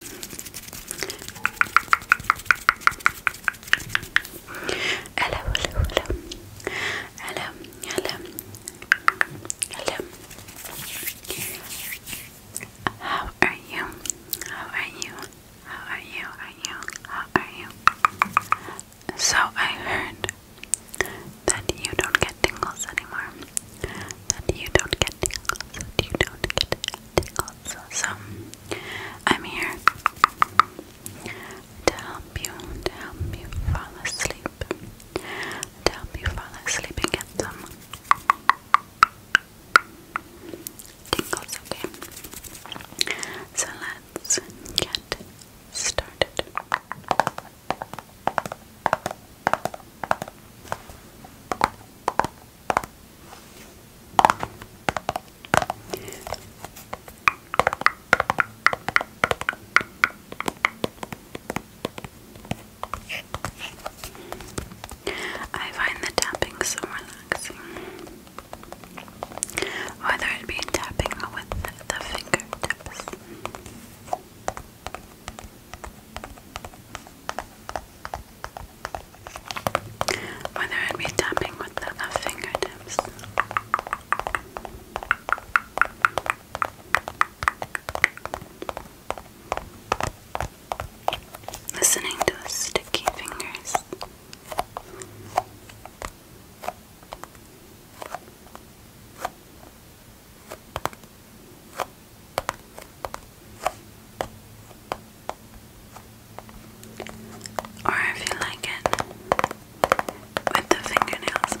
Hello, hello, hello. Hello, hello. How are you? How are you? How are you? Are you? How are you? So I heard that you don't get tingles anymore. That you don't get tingles. That you don't get tingles. So I'm here to help you, to help you fall asleep, to help you fall asleep and get some tingles. Okay, so let's get started. I find the tapping so relaxing. Whether it be tapping with the fingertips whether I'd tapping with the fingertips. Listening to sticky fingers. Or if you like it with the fingernails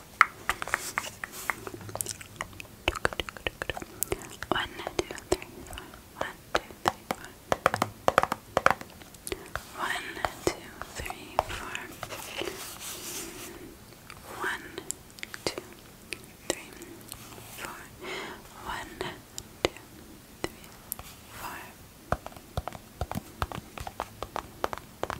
One, two, three, four. One, two, three, four. One, two, three, four. One, two, three, four. One, two, three, four. One, two,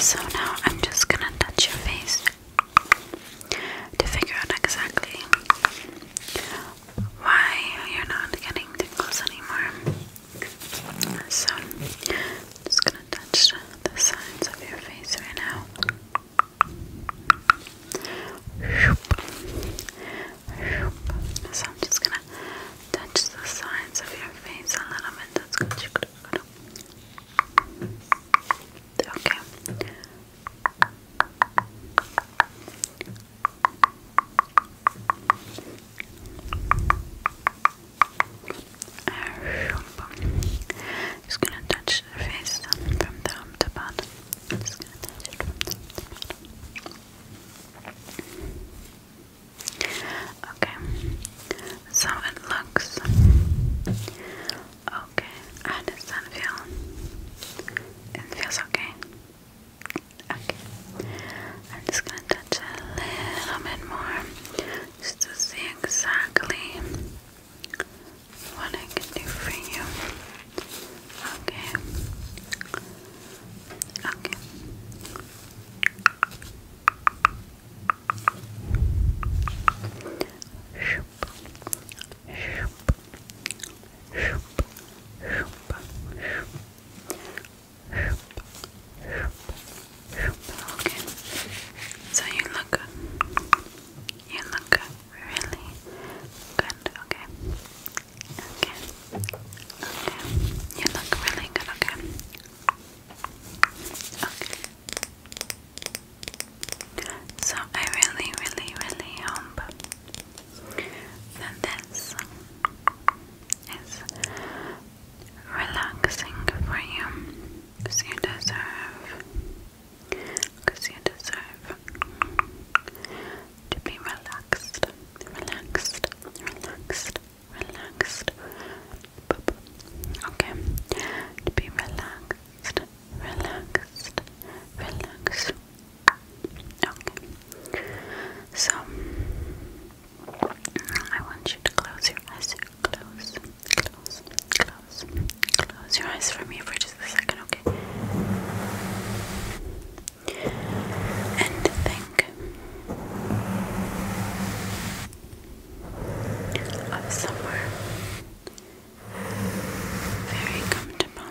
So now I'm just gonna touch your face to figure out exactly why you're not getting tingles anymore. So just gonna touch the sides of your face right now. I'm just gonna touch the sides of your face a little bit. That's good. Okay. Just gonna touch the face from top top to bottom. Okay, so it looks okay. How does that feel? It feels okay. Okay, I'm just gonna touch a little bit more just to see exactly what I can do for you. Okay. Okay. Okay. So you look You look Really good. Okay. Okay. Okay. You look really good. Okay. So I really, really, really hope that this is relaxing for you because you deserve because you deserve to be relaxed relaxed relaxed relaxed. Okay, to be relaxed, relaxed, relaxed. Okay, so I want you to close your eyes. Close, close, close, close your eyes for me for just a second, okay? and think of somewhere very comfortable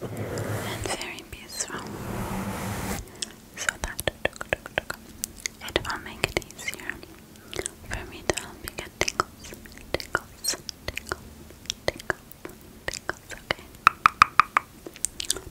and very peaceful so that it will make it easier for me to help you get tingles, tingles, tingles, tingles, tingles, okay?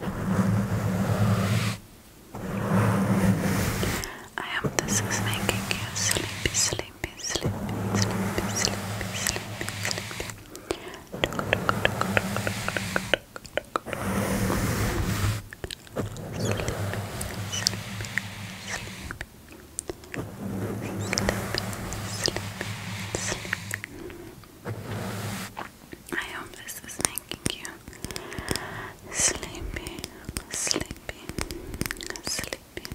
I hope this is making you sleepy, sleepy, sleepy, sleepy, sleepy, sleepy, Sleepy, sleepy, sleepy. I hope this is making you sleepy, sleepy, sleepy.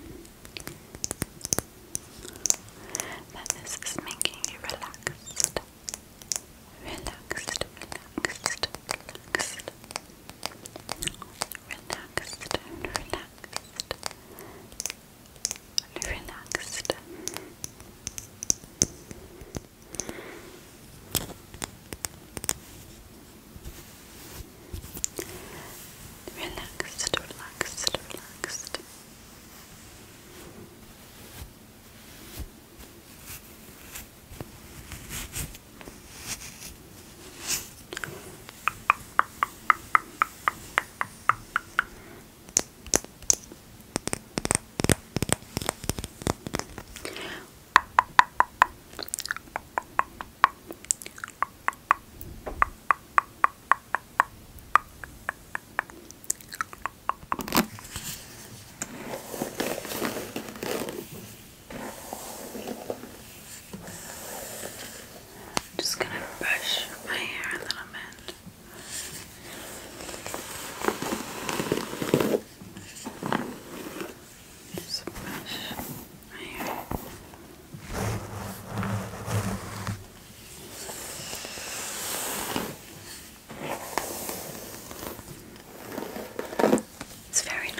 That this is making you relaxed, relaxed, relaxed, relaxed, relaxed, relaxed, and relaxed. Relaxed, relaxed, relaxed. I'm just going to brush my hair a little bit. There's a brush right here. It's very knotted.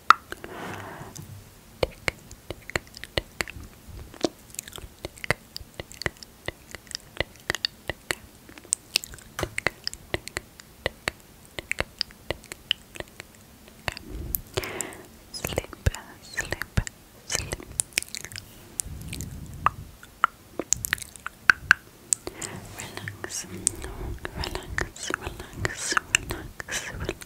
Sleep, sleep, sleep. Relax, relax, relax, relax,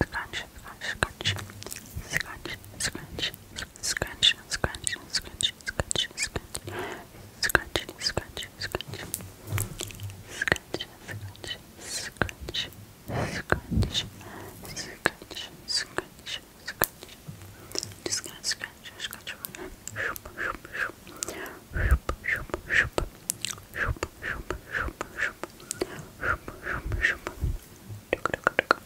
scratch, scratch, scratch, scratch, scratch, scratch, scratch, scratch, scratch, scratch, scratch, scratch, scratch, scratch, scratch, scratch, scratch, scratch, scratch. Just gonna scratch, scratch over here. Shoop, shoop, shoop, shoop, shoop, shoop, shoop, shoop, shoop, shoop, shoop, shoop, shoop, shoop, shoop, shoop,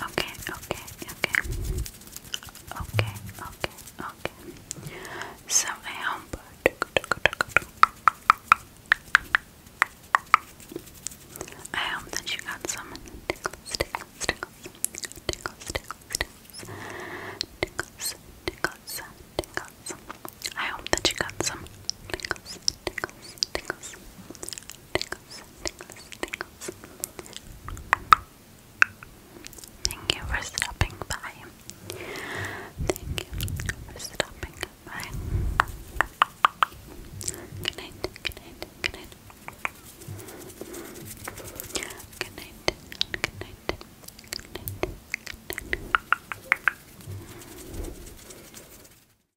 Okay, okay, okay. Okay, okay, okay. So I hope I hope that you got some tickles, tickles, tickles, tickles, tickles, tickles, tickles, tickles. I hope that you got some tickles, tickles, tickles, tickles, Thank you for stopping by. Thank you for stopping by. good night, good night. Good night, good night, good night, good night.